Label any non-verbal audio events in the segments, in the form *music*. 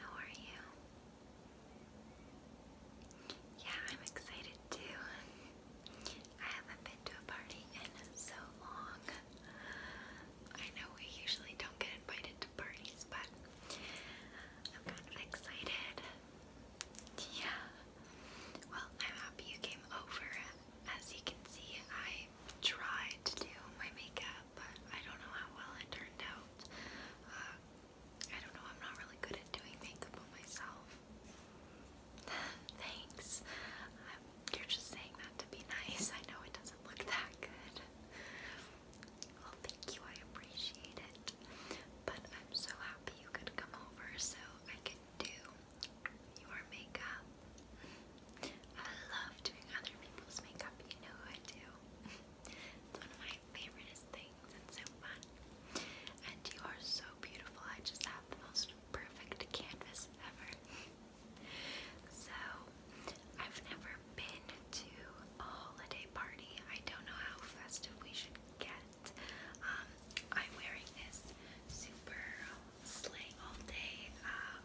How are you? Yeah, I'm excited too. I haven't been to a party in so long. I know we usually don't get invited to parties, but I'm kind of excited. Yeah. Well, I'm happy you came over. As you can see, I I to do my makeup, but I don't know how well it turned out. Uh, I don't know, I'm not really good at doing makeup myself. *laughs* Thanks. Um, you're just saying that to be nice. I know it doesn't look that good. Well, thank you. I appreciate it. But I'm so happy you could come over so I can do your makeup. I love doing other people's makeup, you know I do. *laughs* it's one of my favorite things, it's so fun. And you are so beautiful, I just have the most perfect canvas ever. *laughs* so, I've never been to a holiday party. I don't know how festive we should get. Um, I'm wearing this super slay all day uh,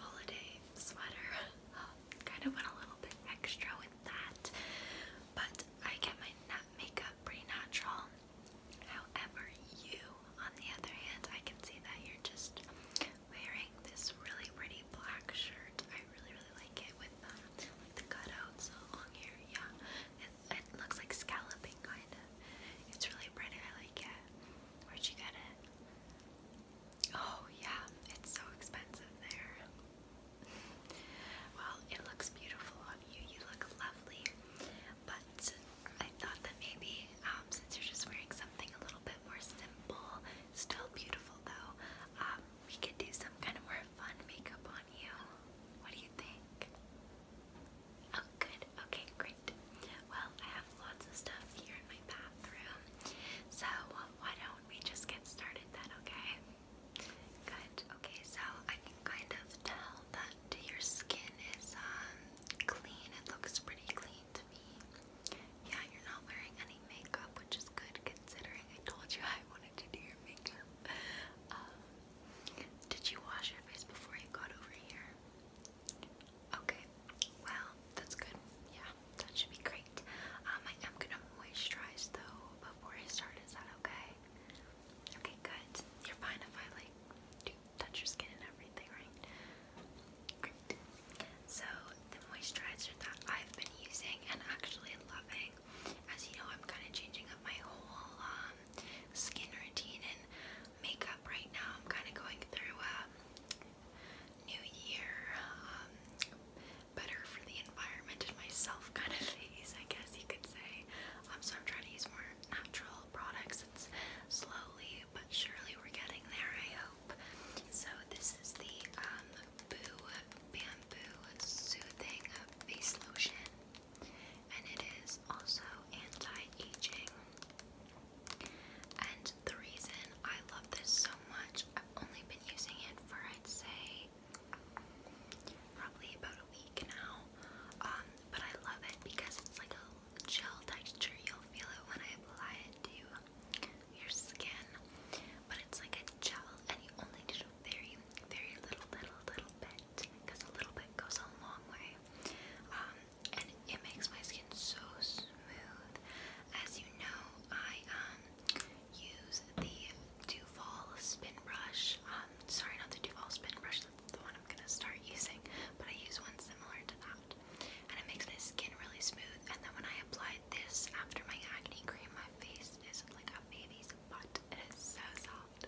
holiday sweater. *laughs* kind of went a little bit extra with that, but I get my makeup pretty natural. However, you, on the other hand, I can see that you're just wearing this really pretty black shirt. I really, really like it with um, like the cutouts along here. Yeah, it, it looks like scalloping, kind of. It's really pretty. I like it. Where'd you get it? Oh, yeah, it's so expensive there. well, it looks beautiful on you. You look lovely. But I thought that maybe um, since you're just wearing something a little bit more simple, still beautiful though, um, we could do some kind of more fun makeup on you. What do you think? Oh, good. Okay, great. Well, I have lots of stuff here in my bathroom. So, why don't we just get started then, okay? Good. Okay, so I can kind of tell that your skin is um, clean. It looks pretty clean to me. Yeah, you're not wearing any makeup, which is good considering I told you *laughs* I wanted to do your makeup. Um, did you wash your face before you got over here? Okay, well, that's good. Yeah, that should be great. Um, I am gonna moisturize though before I start. Is that okay? Okay, good. You're fine if I like touch your skin and everything, right? Great. So the moisturizer that I've been using and actually loving, as you know, I'm kind of changing up my whole um, skin routine and makeup right now. I'm kind of going through a um, new year, um, better for the environment and myself *laughs* kind of phase, I guess you could say. Um, so I'm trying to use more natural products. slowly but surely we're getting there, I hope. So this is the um, Boo Bamboo Soothing Face Lotion, and it is also anti-aging the reason I love this so much, I've only been using it for I'd say probably about a week now. Um, but I love it because it's like a gel texture. You'll feel it when I apply it to your skin. But it's like a gel and you only need a very, very little, little, little bit. Because a little bit goes a long way. Um, and it makes my skin so smooth. As you know, I um use the Duval Spin Brush. Um, sorry, not the Duval Spin Brush, that's the one I'm gonna start using, but I use one similar to that. And it makes my skin really smooth, and then when I apply this after my acne cream, my face is like a baby's butt. It is so soft.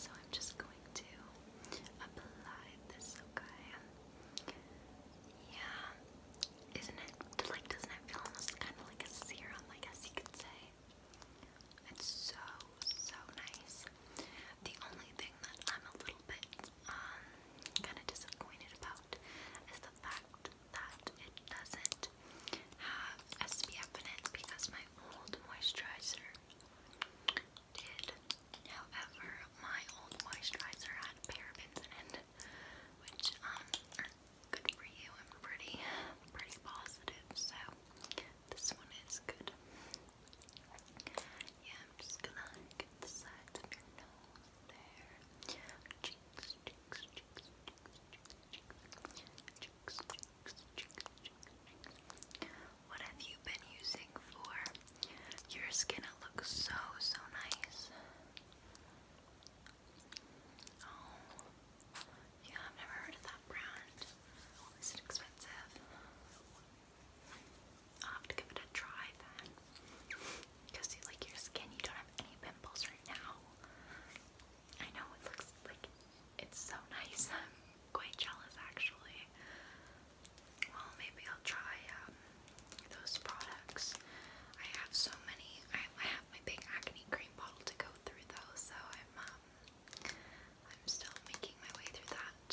So I'm just going to apply this, okay? Yeah. Isn't it like doesn't it feel almost kind of like a serum, I guess you could say? It's so so nice. The only thing that I'm a little bit um kind of disappointed about is the fact that it doesn't have SPF in it because my old moisturizer did. However, my old moisturizer had parabens in it which um good for you and pretty pretty positive. So this one is good. Yeah, I'm just gonna get the sides of your nose there. Cheeks, cheeks, cheeks, cheeks, cheeks, cheeks, cheeks, cheeks, cheeks. What have you been using for your skin? It looks so so nice. Oh, yeah, I've never heard of that brand. Is it expensive? i have to give it a try then. Because like your skin, you don't have any pimples right now. I know it looks like it's so nice. *laughs* I'm quite jealous actually. Well, maybe I'll try um, those products. I have so many. I, have my big acne cream bottle to go through though, so I'm um, I'm still making my way through that.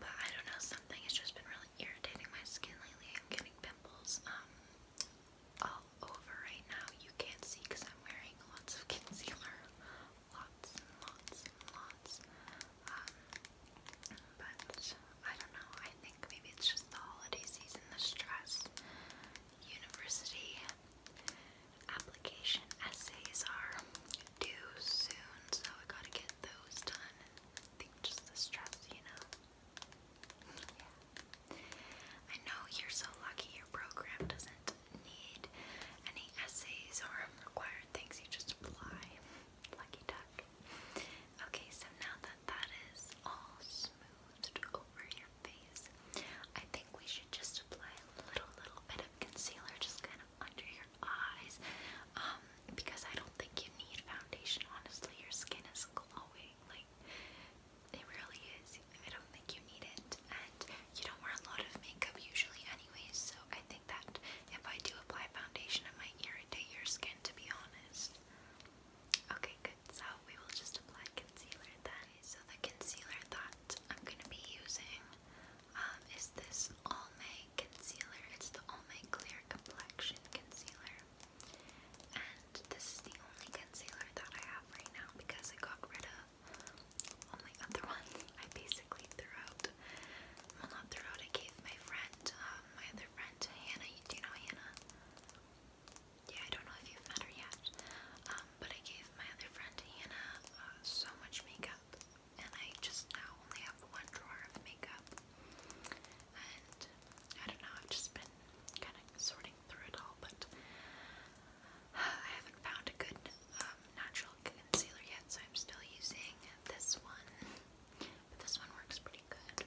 But I don't know, something has just been really irritating my skin lately. I'm getting pimples um, all over right now. You can't see because I'm wearing lots of *laughs* concealer, lots and lots and lots. Um, but I don't know. I think maybe it's just the holiday season, the stress. University application essays are due soon, so I gotta get those done. I think just the stress, you know. Yeah. I know you're so lucky your program doesn't need any essays or required things, you just apply. Lucky duck. Okay, so now that that is all smoothed over your face, I think we should just apply a little, little bit of concealer just kind of under your eyes um, because I don't think you need foundation. Honestly, your skin is glowing. Like, it really is. I don't think you need it. And you don't wear a lot of makeup usually anyways, so I think that if I do apply foundation, it might irritate your skin, to be honest. Okay, good. So we will just apply concealer then. So the concealer that I'm gonna be using um, is this All May concealer. It's the All May Clear Complexion Concealer, and this is the only concealer that I have right now because I got rid of only other *laughs* ones. I basically threw out. Well, not throughout. I gave my friend, um, my other friend, Hannah. You do know Hannah? yeah, I don't know if you've met her yet, um, but I gave my other friend Hannah uh, so much makeup, and I just now only have one drawer of makeup, and I don't know, I've just been kind of sorting through it all, but I haven't found a good um, natural concealer yet, so I'm still using this one, but this one works pretty good.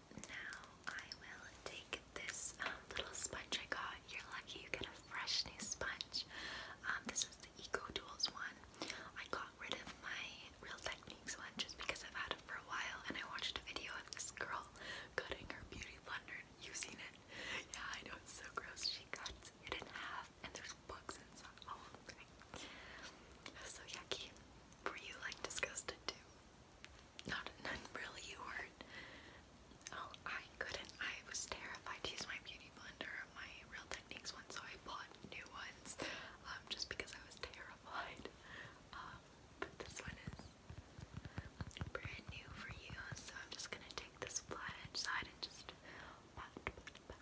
now I will take this um, little sponge I got. You're lucky you get a fresh new sponge. Um, this is the Eco Tools one. I got rid of my Real Techniques one just because I've had it for a while and I watched a video of this girl cutting her beauty blender using it. Yeah, I know it's so gross. She cuts it in half and there's bugs inside. Oh, okay. So yucky. Were you like disgusted too? Not, really, you were Oh, I couldn't. I was terrified to use my beauty blender or my Real Techniques one, so I bought new ones just because I was terrified. but this one is brand new for you, so I'm just gonna take this flat side and just blend that out.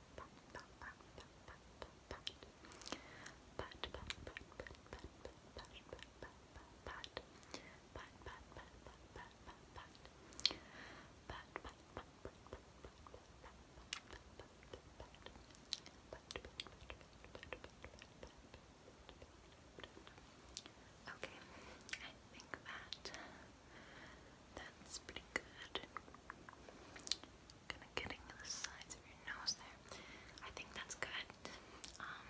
Okay, I think that that's pretty good. Kind of getting the sides of your nose there. I think that's good. Um,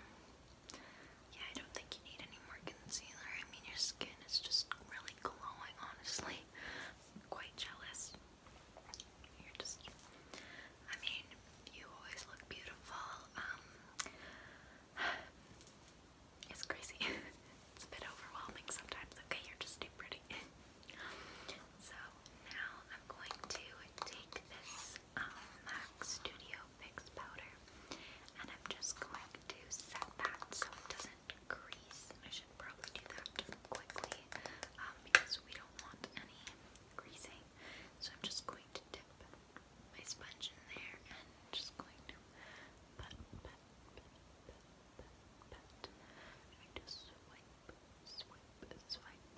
yeah, I don't think you need any more concealer. I mean, your skin is just really glowing, honestly. quite jealous. You're just, I mean, you always look beautiful. Um, *sighs* it's crazy. *laughs* It's a bit overwhelming sometimes. Okay, you're just too pretty. so now I'm going to take this um, MAC Studio Fix powder and I'm just going to set that so it doesn't grease. I should probably do that quickly um, because we don't want any greasing. So I'm just going to dip my sponge in there and just going to put, put, put, pat. Trying to swipe, swipe, swipe.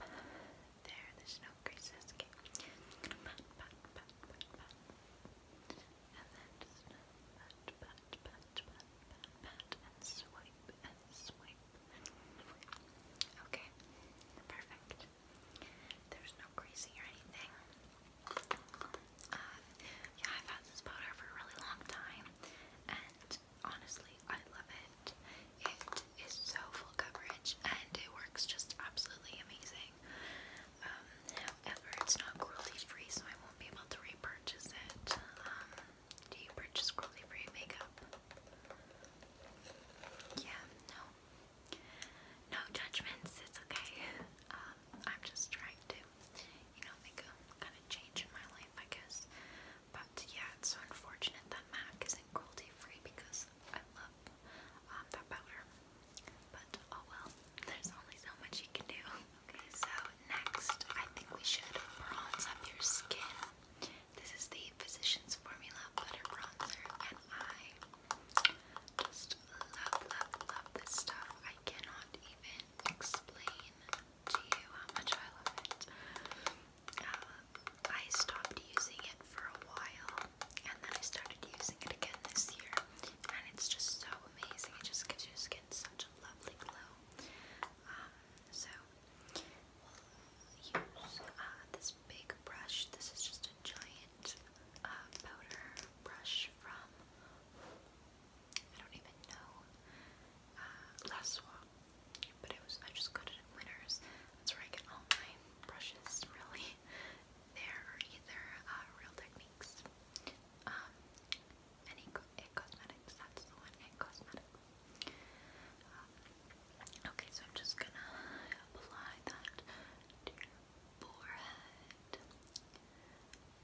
There, there's no creases. Okay. Just gonna pat, pat, pat, pat, pat. And then just pat, pat, pat, pat, pat, pat, and swipe, and swipe. Okay, perfect. There's no greasing or anything. Uh, yeah, I've had this powder for a really long time, and honestly, I love it. It is so full coverage and it works just absolutely amazing. Um, however, it's not cruelty free, so I won't be able to repurchase it. Um, do you purchase cruelty free makeup? Yeah, no. No judgments, it's okay. *laughs* Um, I'm just trying to you know, make a kind of change in my life, I guess. But yeah, it's so unfortunate that MAC isn't cruelty free because I love um, that powder. But oh well, there's only so much you can do. Okay, so next, I think we should bronze up your skin. This is the Physicians Formula Butter Bronzer, and I just love, love, love this stuff. I cannot even explain to you how much I love it. Uh, I stopped using it for a while and then I started using it again this year, and it's just so amazing. It just gives your skin such a lovely glow. Um, so, we'll use uh, this big brush. This is just a giant uh, powder brush from I don't even know, uh, but it was, I just got it at Winners, that's where I get all my brushes, really, *laughs* there are uh, either, Real Techniques, um, eh, Cosmetics, that's the one, It eh, Cosmetics, um, okay, so I'm just gonna apply that to your forehead,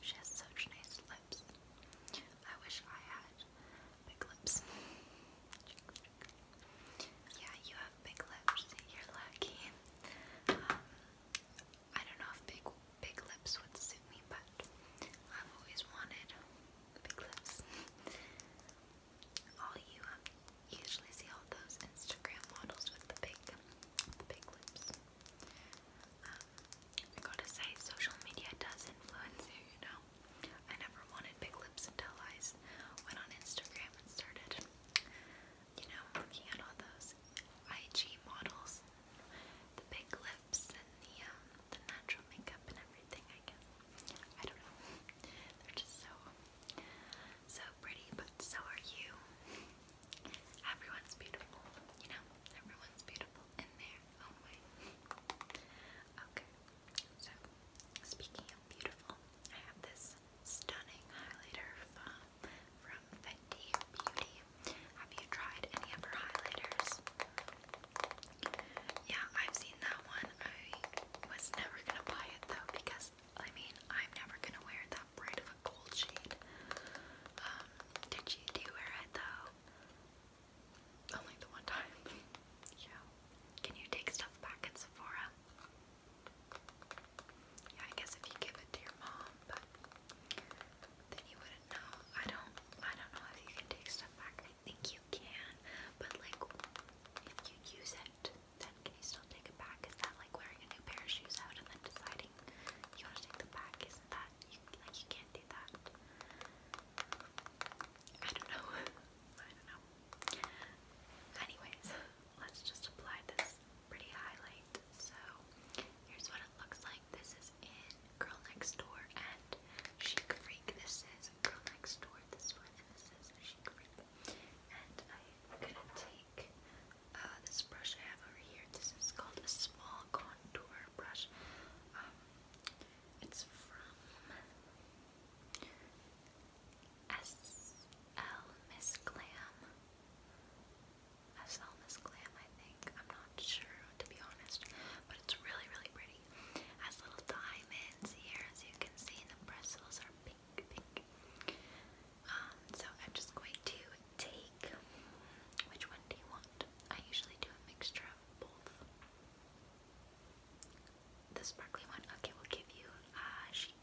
She has such nice lips. I wish I had big lips. yeah, you have big lips. You're lucky. Um, I don't know if big big lips would suit me, but I've always wanted big lips. all you um, usually see all those Instagram models with the big, big lips. Um, I gotta say, social media does influence you, you know. I never wanted big lips until I went on Instagram and started, you know, looking at all those IG models, the big lips, and the um, the natural makeup and everything. I guess I don't know. *laughs* They're just so so pretty, but so are you. Everyone's beautiful, you know. Everyone's beautiful in their Oh, speaking of beautiful, I have this stunning highlighter from, from Fenty Beauty. Have you tried any of her highlighters? Yeah, I've seen that one. I was never gonna buy it though because I mean I'm never gonna wear that bright of a gold shade. Um, did you do wear it though? Only the one time. *laughs* yeah. Can you take stuff back at Sephora? Yeah, I guess if you give it to your mom, but then you wouldn't know. I don't I don't know if you can take stuff back. I think you can, but like if you use it, then can you still take it back? Is that like wearing a new pair of shoes out and then deciding you want to take them back? Isn't that you, like you can't do that? I don't know. *laughs* I don't know. Anyways, let's just apply this pretty highlight. So, here's what it looks like. This is in Girl Next Door and Chic Freak. This is Girl Next Door, this one, is Chic Freak. And I'm gonna take uh, this brush I have over here. This is called a small contour brush. Um, it's from S.L. Miss Glam. S.L. Miss Glam, I think. I'm not sure, to be honest. But it's really, really pretty. Has little diamonds here, as you can see, and the bristles are pink, pink. Um, so I'm just going to take. Which one do you want? I usually do a mixture of both. The sparkly one? Okay, we'll give you uh, cheek,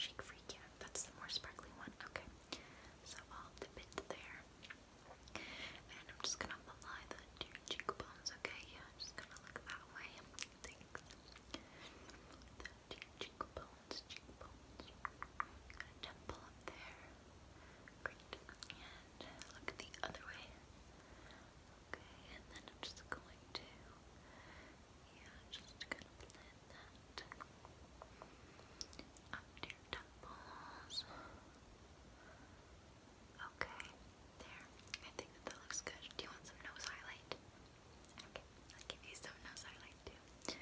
cheek Freak, yeah. That's the more sparkly one. Okay. So I'll dip it there. And I'm just gonna apply that to your cheekbones, okay? Yeah, just gonna look that way. Thanks. cheekbones, cheekbones. Gonna temple up there. And look the other way. Okay, and then I'm just going to, yeah, just gonna blend that up to your temples. Okay, there. I think that looks good. Do you want some nose highlight? Okay, I'll give you some nose highlight too.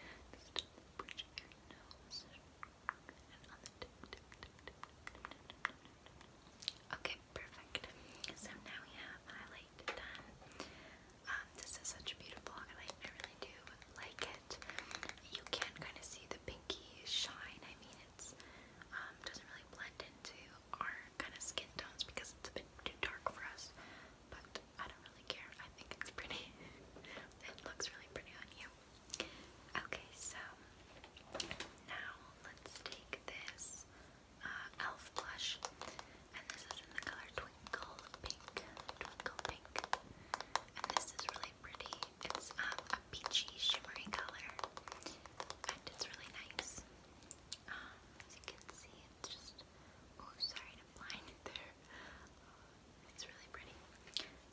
Just bridge your nose. And Okay, perfect. So now we have highlight done. Um, this is such a beautiful highlight. I really do like it. You can kind of see the pinky shine. I mean, it's um, doesn't really blend into our kind of skin tones because it's a bit too dark for us. But I don't really care. I think it's pretty. *laughs* it looks really pretty on you. Okay, so now let's take this uh, elf blush, and this is in the color Twinkle Pink. Twinkle Pink. And this is really pretty. It's um, a peachy, shimmery color, and it's really nice. Um, as you can see, it's just. Oh, sorry to blind it there. It's really pretty.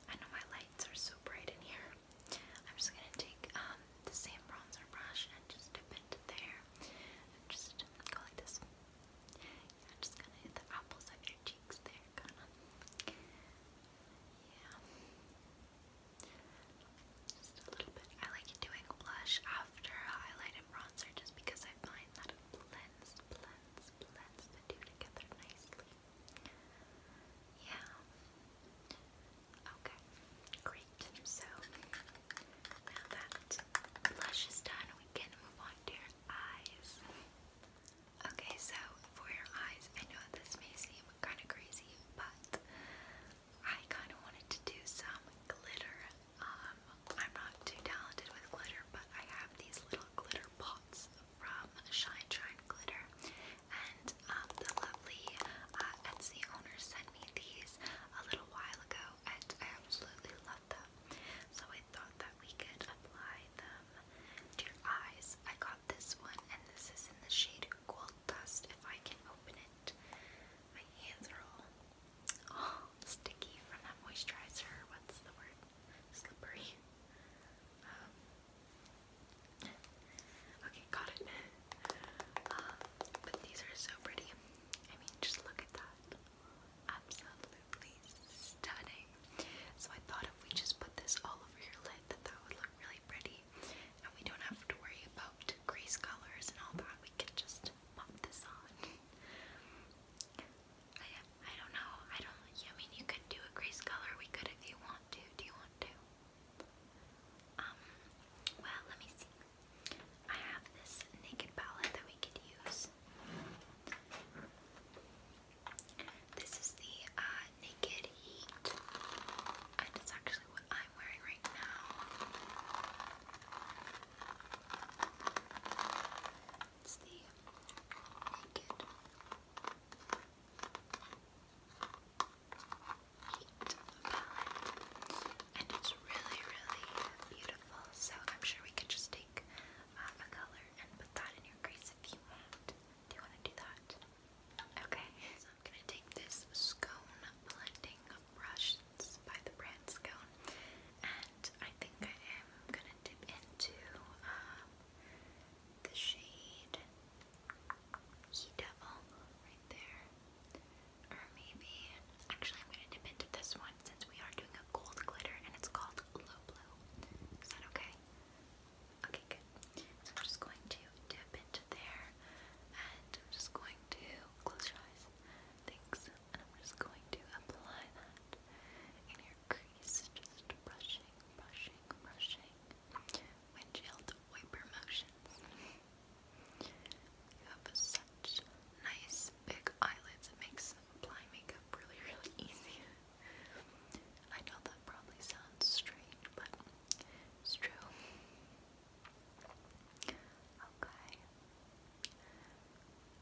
I know my lights are so bright in here. I'm just gonna take um, the same bronzer brush and just dip it there. And just go like this. just gonna hit the apples of your cheeks there, Yeah. Just a little bit. I like doing blush after highlight and bronzer just because I find that it blends, blends, blends the two together nicely. Yeah. Okay. Great. So now that blush is done, we can move on to your eyes. Okay, so for your eyes, I know this may seem kind of crazy, but I kind of wanted to do some glitter. Um, I'm not too talented with glitter, but I have these little glitter pots from Shine Shine Glitter, and and um, the lovely uh, Etsy owner sent me these a little while ago, and I absolutely love them. So I thought that we could apply them to your eyes. I got this one, and this is in the shade Gold Dust. If I can open it, my hands are all oh, sticky from that moisturizer. What's the word? Slippery. Um, Okay, got it. Um, but these are so pretty. I mean, just look at that. Absolutely stunning. So I thought if we just put this all over your lid, that that would look really pretty, and we don't have to worry about grease colors and all that. We can just pop this on. I I don't know. I don't. I mean, you could do a grease color. We could if you want to. Do you want to? Um, well, let me see. I have this naked palette that we could use. This is the uh, Naked Heat, and it's actually what I'm wearing right now. It's the Naked and it's really, really beautiful. So I'm sure we could just take uh, a color and put that in your crease if you want. Do you want to do that? Okay. So I'm gonna take this scone blending brush by the brand Scone, and I think I am gonna dip into um, the shade. He Devil right there. Or maybe, actually I'm going to dip into this one since we are doing a gold glitter and it's called Low Blue. Is that okay? Okay, good. So I'm just going to dip into there and I'm just going to close your eyes. Thanks. And I'm just going to apply that in your crease. Just brushing, brushing, brushing windshield wiper motions. You have such nice big eyelids, it makes applying makeup really, really easy. I know that probably sounds strange, but it's true. Okay.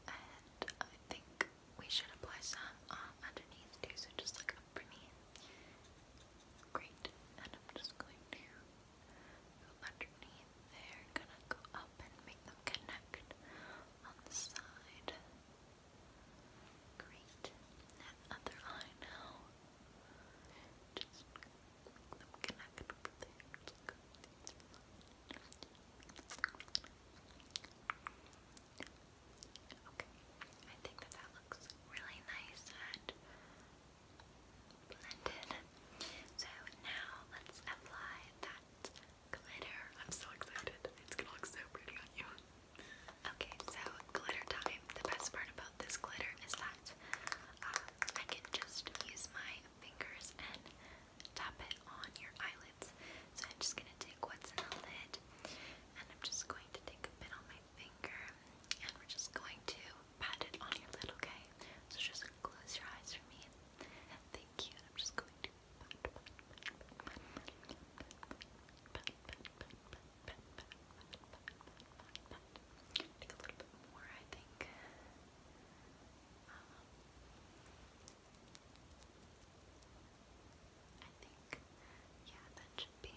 And I think we should apply some um, underneath too, so just like for me. Great. And I'm just going to go underneath there, gonna go up and make them connect on the side. Great. That other eye now. Just make them connect over there. Okay, I think that that looks really nice and so now let's apply that glitter. I'm so excited. It's gonna look so pretty on you. Okay, so glitter time. The best part about this glitter is that um, I can just use my fingers and tap it on your eyelids. So I'm just gonna take what's in the lid and I'm just going to take a bit on my finger and we're just going to pat it on your lid, okay? So just close your eyes for me. Thank you. I'm just going to pat, pat, pat, pat, pat, pat, pat, pat, pat, pat, pat, pat, pat, pat, pat. Take a little bit more, I think. Um, I think, yeah, that should be.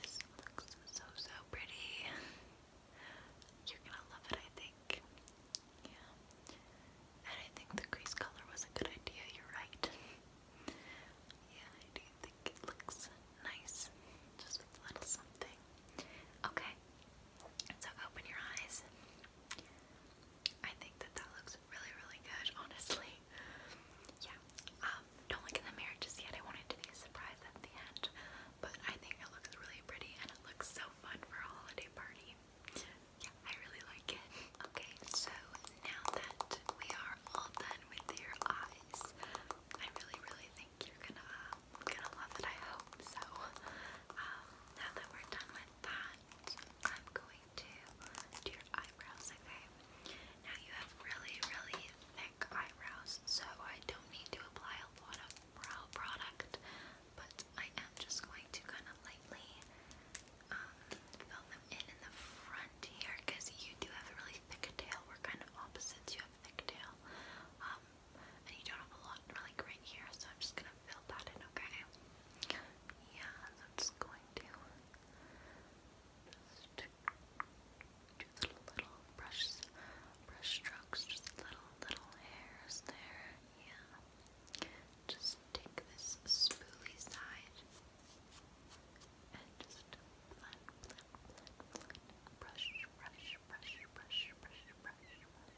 this looks so so pretty. You're gonna love it, I think. Yeah. And I think the crease color was a good idea, you're right. yeah, I do think it looks nice. Just a little something. Okay. So open your eyes. I think that that looks really, really good, honestly. Yeah, um, don't look in the mirror just yet. I want to be a surprise at the end, but I think it looks really pretty and it looks so fun for a holiday party. Yeah, I really like it. Okay, so now that we are all done with your eyes, I really, really think you're gonna, gonna love it. I hope so. Um, now that we're done with that, I'm going to do your eyebrows, okay? Now you have really, really thick eyebrows, so I don't need to apply a lot of brow product, but I am just going to kind of lightly um, fill them in in the front here, because you do have a really thick tail. We're kind of opposites. You have a thick tail, um, and you don't have a lot like right here, so I'm just gonna fill that in, okay? Yeah, I'm just going to just do little brush, brush strokes, just little, little hairs there. Yeah. Just take this spoolie side and just brush, brush, brush, brush, brush, brush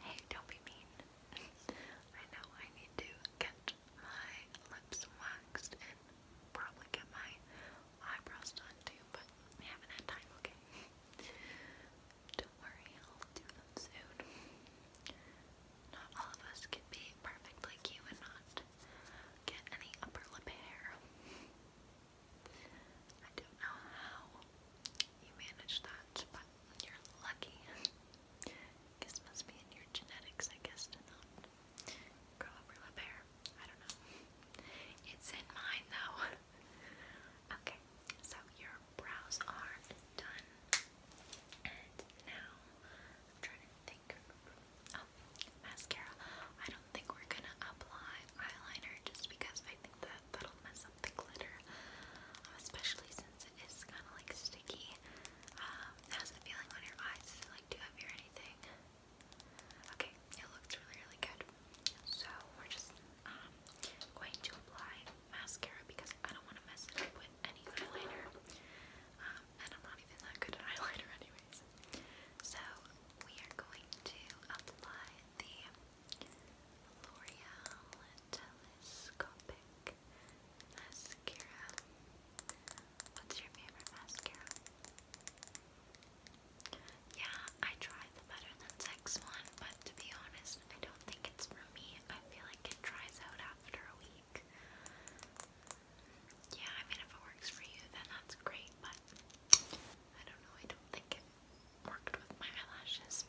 Hey, don't be mean. I know I need to get my lips waxed and probably get my eyebrows done too, but I haven't had time, okay? Don't worry, I'll do them soon. Not all of us can be perfect like you and not get any upper lip hair. I don't know how you manage that, but you're lucky. This must be in your genetics, I guess, to not grow up real hair. I don't know. It's in mine though. *laughs* okay, so your brows are done. And now I'm trying to think. Oh, mascara. I don't think we're gonna apply eyeliner just because I think that that'll mess up the glitter, especially it is kind of like sticky. Um, how's feeling on your eyes? like too heavy or anything? Okay, it looks really, really good. So we're just um, going to apply mascara because I don't want to mess it up with any eyeliner. Um, and I'm not even that good at *laughs* eyeliner anyways. So we are going to apply the L'Oreal telescopic mascara. What's your favorite mascara? Yeah, I tried the Better Than Sex one, but to be honest, I don't think it's for me. I feel like it dries out after a week. Yeah, I mean, if it works for you, then that's great, but I don't know, I don't think it worked with my eyelashes.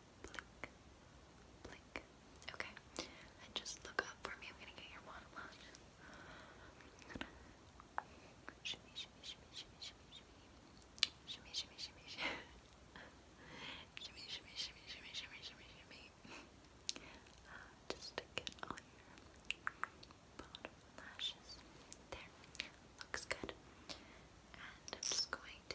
blink, blink. Okay, just look up for me. I'm gonna get your bottom lashes. There, looks good. And I'm just going to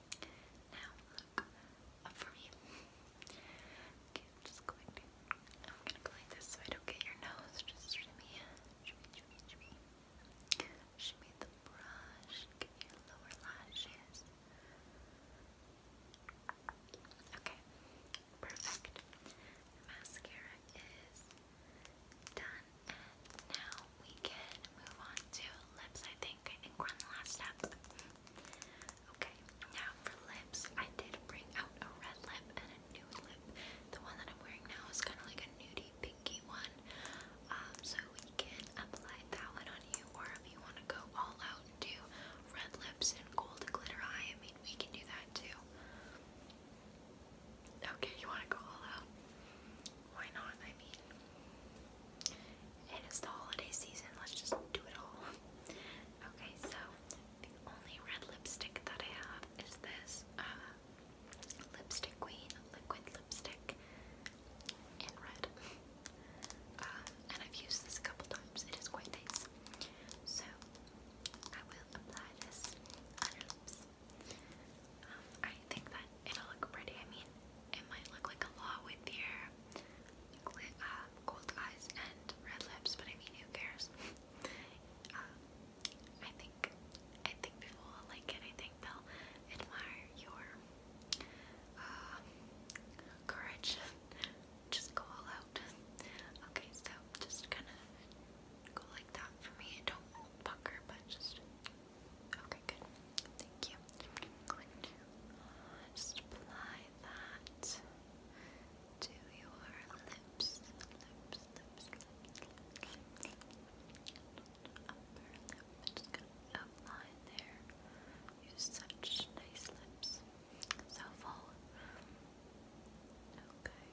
Now look up for me. I'm just going to. I'm gonna go like this so I don't get your nose. Just shimmy, shimmy, shimmy, shimmy. Shimmy the brush. Get your lower lashes. Okay, perfect. mascara is done, and now we can move on to lips. I think think. I we're on the last step. Okay, now for lips, I did bring out a red lip and a nude lip. The one that I'm wearing now is kind of like a nudie pinky one. Um, so we can apply that one on you, or if you want to go all out and do red lips and gold glitter eye, I mean, we can do that too. Okay, you want to go all out? Why not? I mean, it's the holiday season. Let's just do it all. *laughs* Okay, so the only red lipstick that I have is this uh, Lipstick Queen liquid lipstick in red. *laughs* Uh, and I've used this a couple times. It is quite nice. So I will apply this on lips. Um, I think that it'll look pretty. I mean, it might look like a lot with your uh, gold eyes and red lips, but I mean, who cares? *laughs* um, I think I think people will like it. I think they'll admire your uh, courage. *laughs* just go all out. *laughs* okay, so just kind of go like that for me. Don't pucker, but just okay, good. Thank you. Uh, just apply that to your lips, lips, lips, lips, lips, lips. Just gonna outline there. You such nice lips, so full. Okay,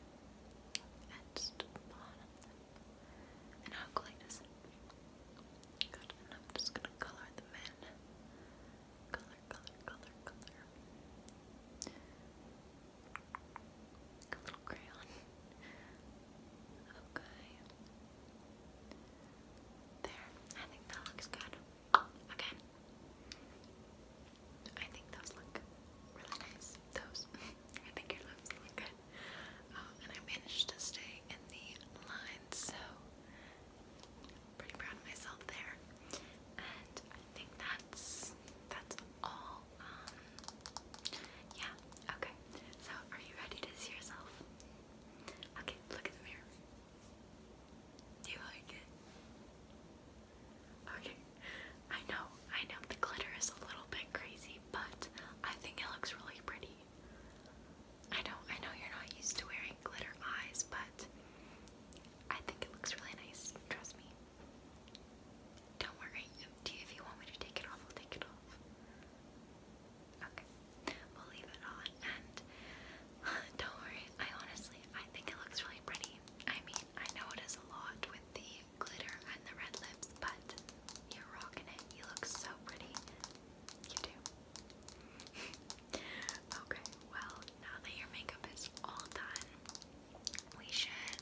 and just bottom And how cool is it? Good, and just gonna color them in color, color, color, color. A little crayon. Okay. There. I think that looks good. Okay. I think those look really nice. Those. I think your lips good. Um, and I managed to stay in the line, pretty proud of myself there. And I think that's that's all. Um, yeah. Okay. So, are you ready to see yourself? Okay. Look in the mirror. Do you like it? Okay. I know. I know the glitter is a little bit crazy, but I think it looks really pretty. I know, I know you're not used to wearing glitter eyes, but I think it looks really nice. Trust me. Don't worry. if you want me to take it off, I'll take it off. Okay, we'll leave it on. And *sighs* don't worry. I honestly, I think it looks really pretty. I mean, I know it is a lot with the glitter and the red lips, but you're rocking it. You look so pretty. You do. *laughs* Okay, well, now that your makeup is all done, we should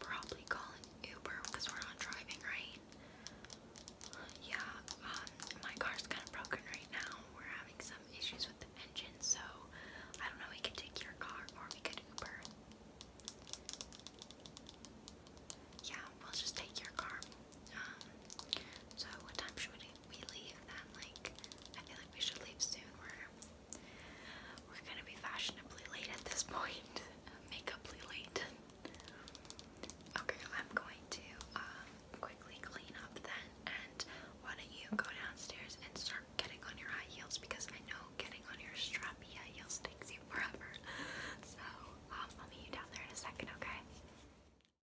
probably call an Uber because we're not driving, right? Yeah, um, my car's kind of broken right now. We're having some issues with the engine, so I don't know, we could take your car or we could Uber. Yeah, we'll just take your car. Um, so what time should we we leave then, like, I feel like we should leave soon. We're, we're gonna be fashionably late at this *laughs* point. Makeuply late. Okay, I'm going to um, quickly clean up then, and why don't you go downstairs and start getting on your high heels because I know getting on your strappy heels takes you forever. *laughs* So um, I'll meet you down there in a second, okay?